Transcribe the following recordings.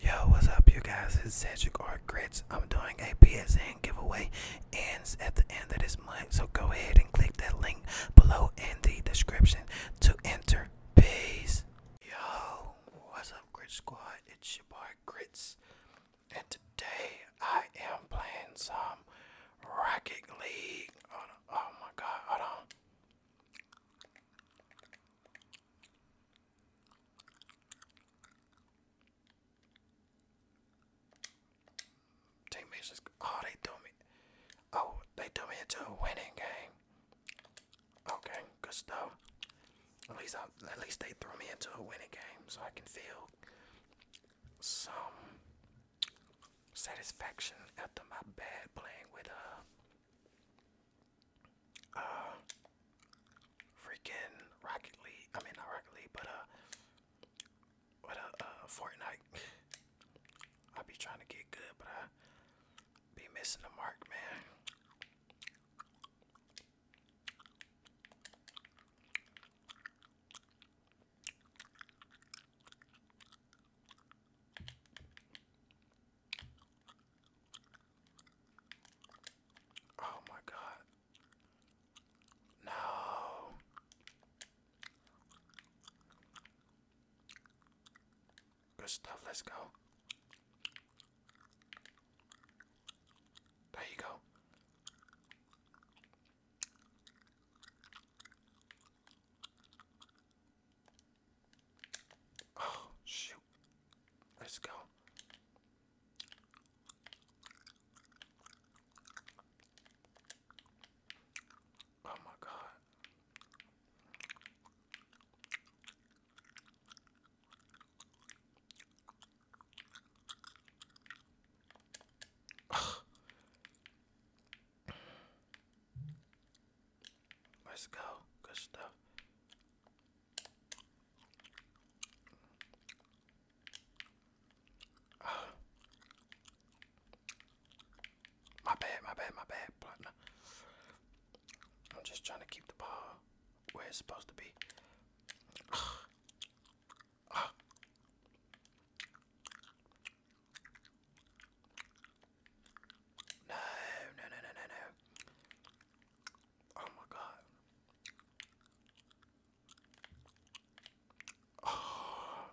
Yo, what's up, you guys? It's Cedric Art Grits. I'm doing a PSN giveaway. Ends at the end of this month, so go ahead and click that link below in the description to enter. Peace. Yo, what's up, Grit Squad? It's your boy Grits, and today I am playing some Rocket League. Oh, oh my God! Hold on. Teammates just oh they threw me oh they threw me into a winning game. Okay, good stuff. At least at least they threw me into a winning game so I can feel some satisfaction after my bad playing with uh uh, freaking Rocket I mean, not Rocket but uh, what uh, uh I be trying to get good, but I be missing the mark, man. Oh my god. No. Good stuff, let's go. There you go. Oh, shoot. Let's go. Oh, my God. Let's go. Good stuff. My bad, my bad, my bad, partner. I'm just trying to keep the ball where it's supposed to be. Ah. No, no, no, no, no, Oh my god. Oh.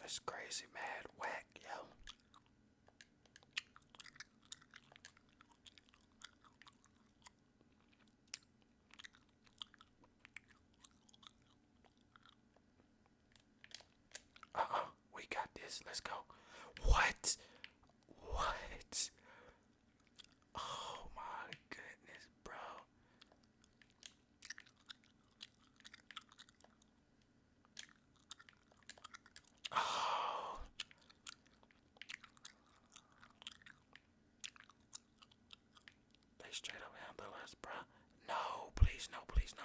That's crazy mad whack, yo. Uh-uh, we got this. Let's go. What? What? Oh my goodness, bro. Oh. They straight up handle us, bruh. No, please, no, please, no.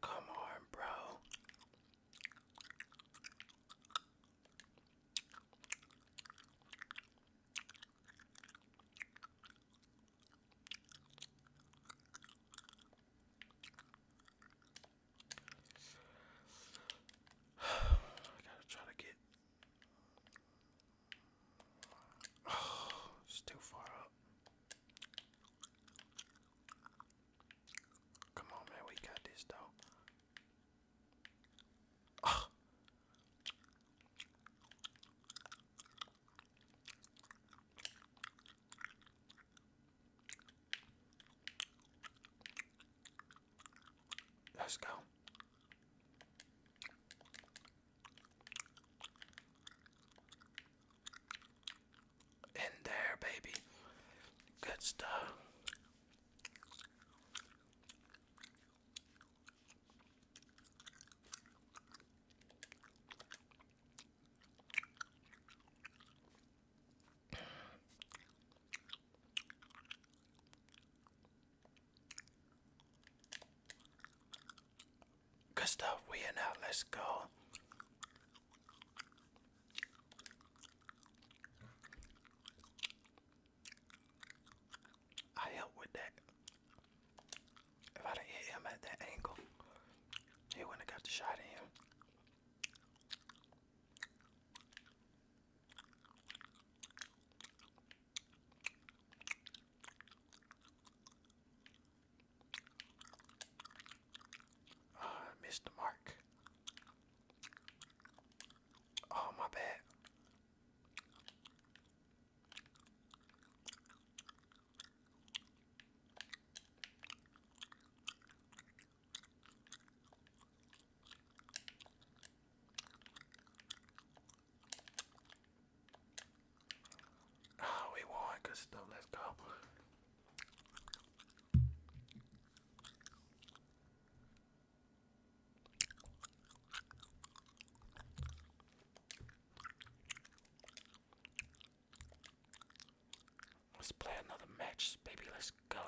Come on, bro. I gotta try to get. it's too far up. Come on, man, we got this though. Let's go. In there, baby. Good stuff. Good stuff, we are now. Let's go. I helped with that. If I didn't hit him at that angle, he wouldn't have got the shot in uh, I missed the mark. Oh, my bad. Oh, we won. Good stuff. Let's go. Let's play another match, baby. Let's go.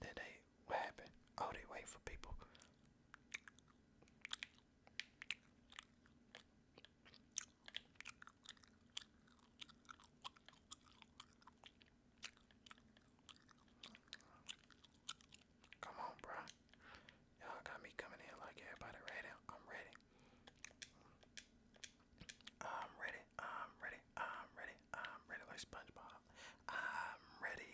Did they? What happened? Oh, they wait for people. Come on, bro. Y'all got me coming in like everybody ready. I'm ready. I'm ready. I'm ready. I'm ready. I'm ready like SpongeBob. I'm ready.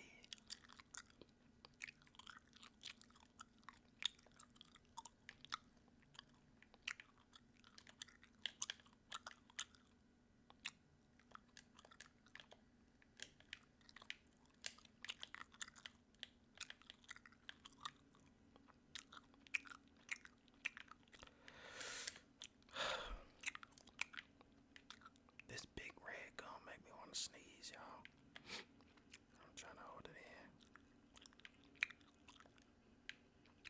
this big red gum make me want to sneeze, y'all. I'm trying to hold it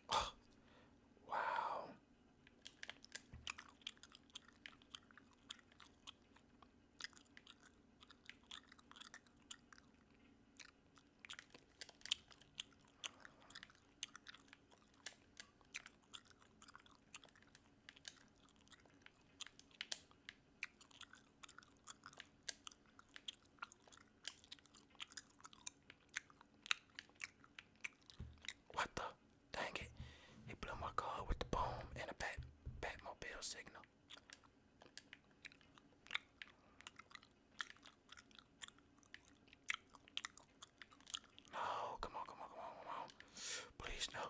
in. wow. What the? Dang it. He blew my car with the boom and a bat Batmobile signal. No, come on, come on, come on, come on. Please, no.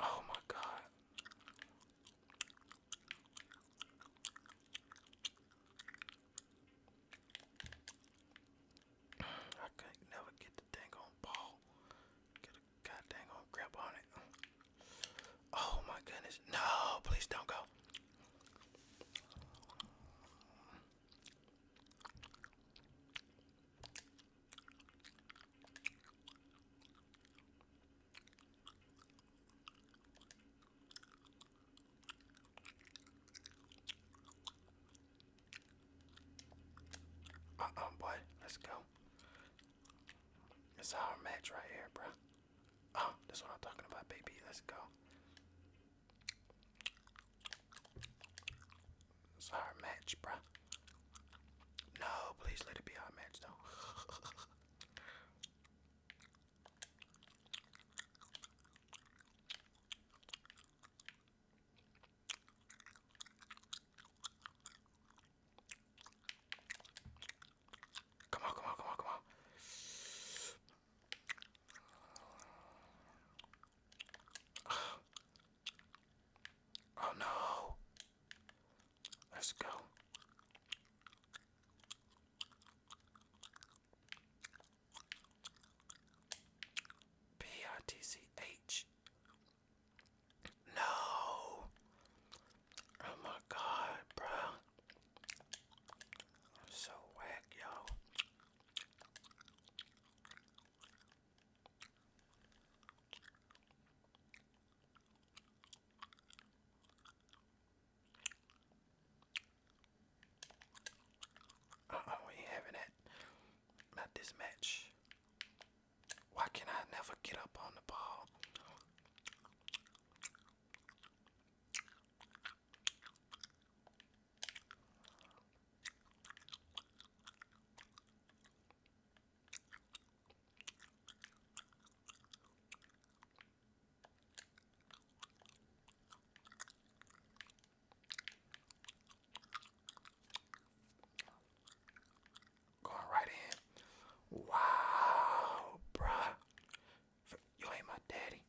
Oh my God. I can't never get the dang on ball the god dang old grip on it. Oh my goodness. No, please don't go. Uh-uh, boy. Let's go. It's our match right here, bro. Oh, that's what I'm talking about, baby. Let's go. It's our match, bro. No, please let it be our match, though. Come on, come on, come on, come on. Oh no. Let's go. P I T C H no. Oh my god, bro. I'm so whack, yo. Uh oh, we having that. Not this match. Why can I never get up on the ball? Going right in. Wow, bruh. You ain't my daddy.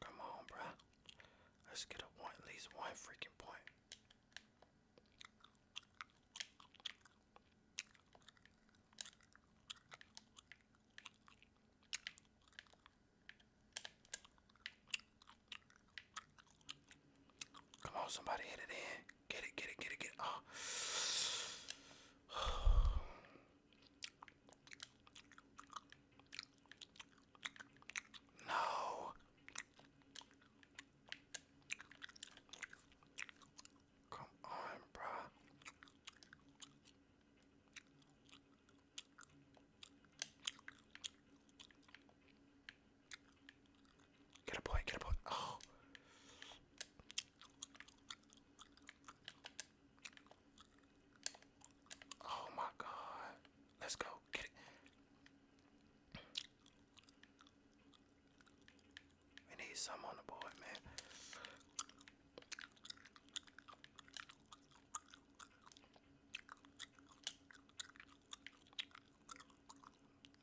Come on, bruh. Let's get at least one freaking point. Come on, somebody hit it in. Get it, get it, get it, get it. Oh. No. Come on, bro. Get a boy, get a boy. Oh. Oh my god. Let's go. Get it. We need some on the board, man.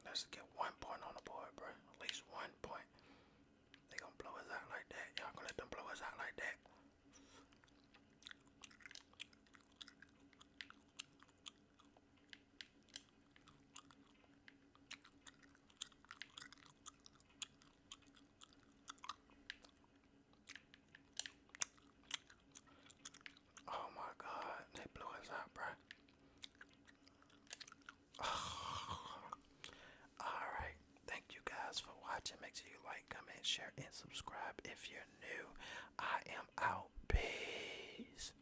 Let's get one point on the board, bro. At least one point. They gonna blow us out like that. Y'all gonna let them blow us out like that. Oh my God, they blew us up, bruh. Alright, thank you guys for watching. Make sure you like, comment, share, and subscribe if you're new. I am out. Peace.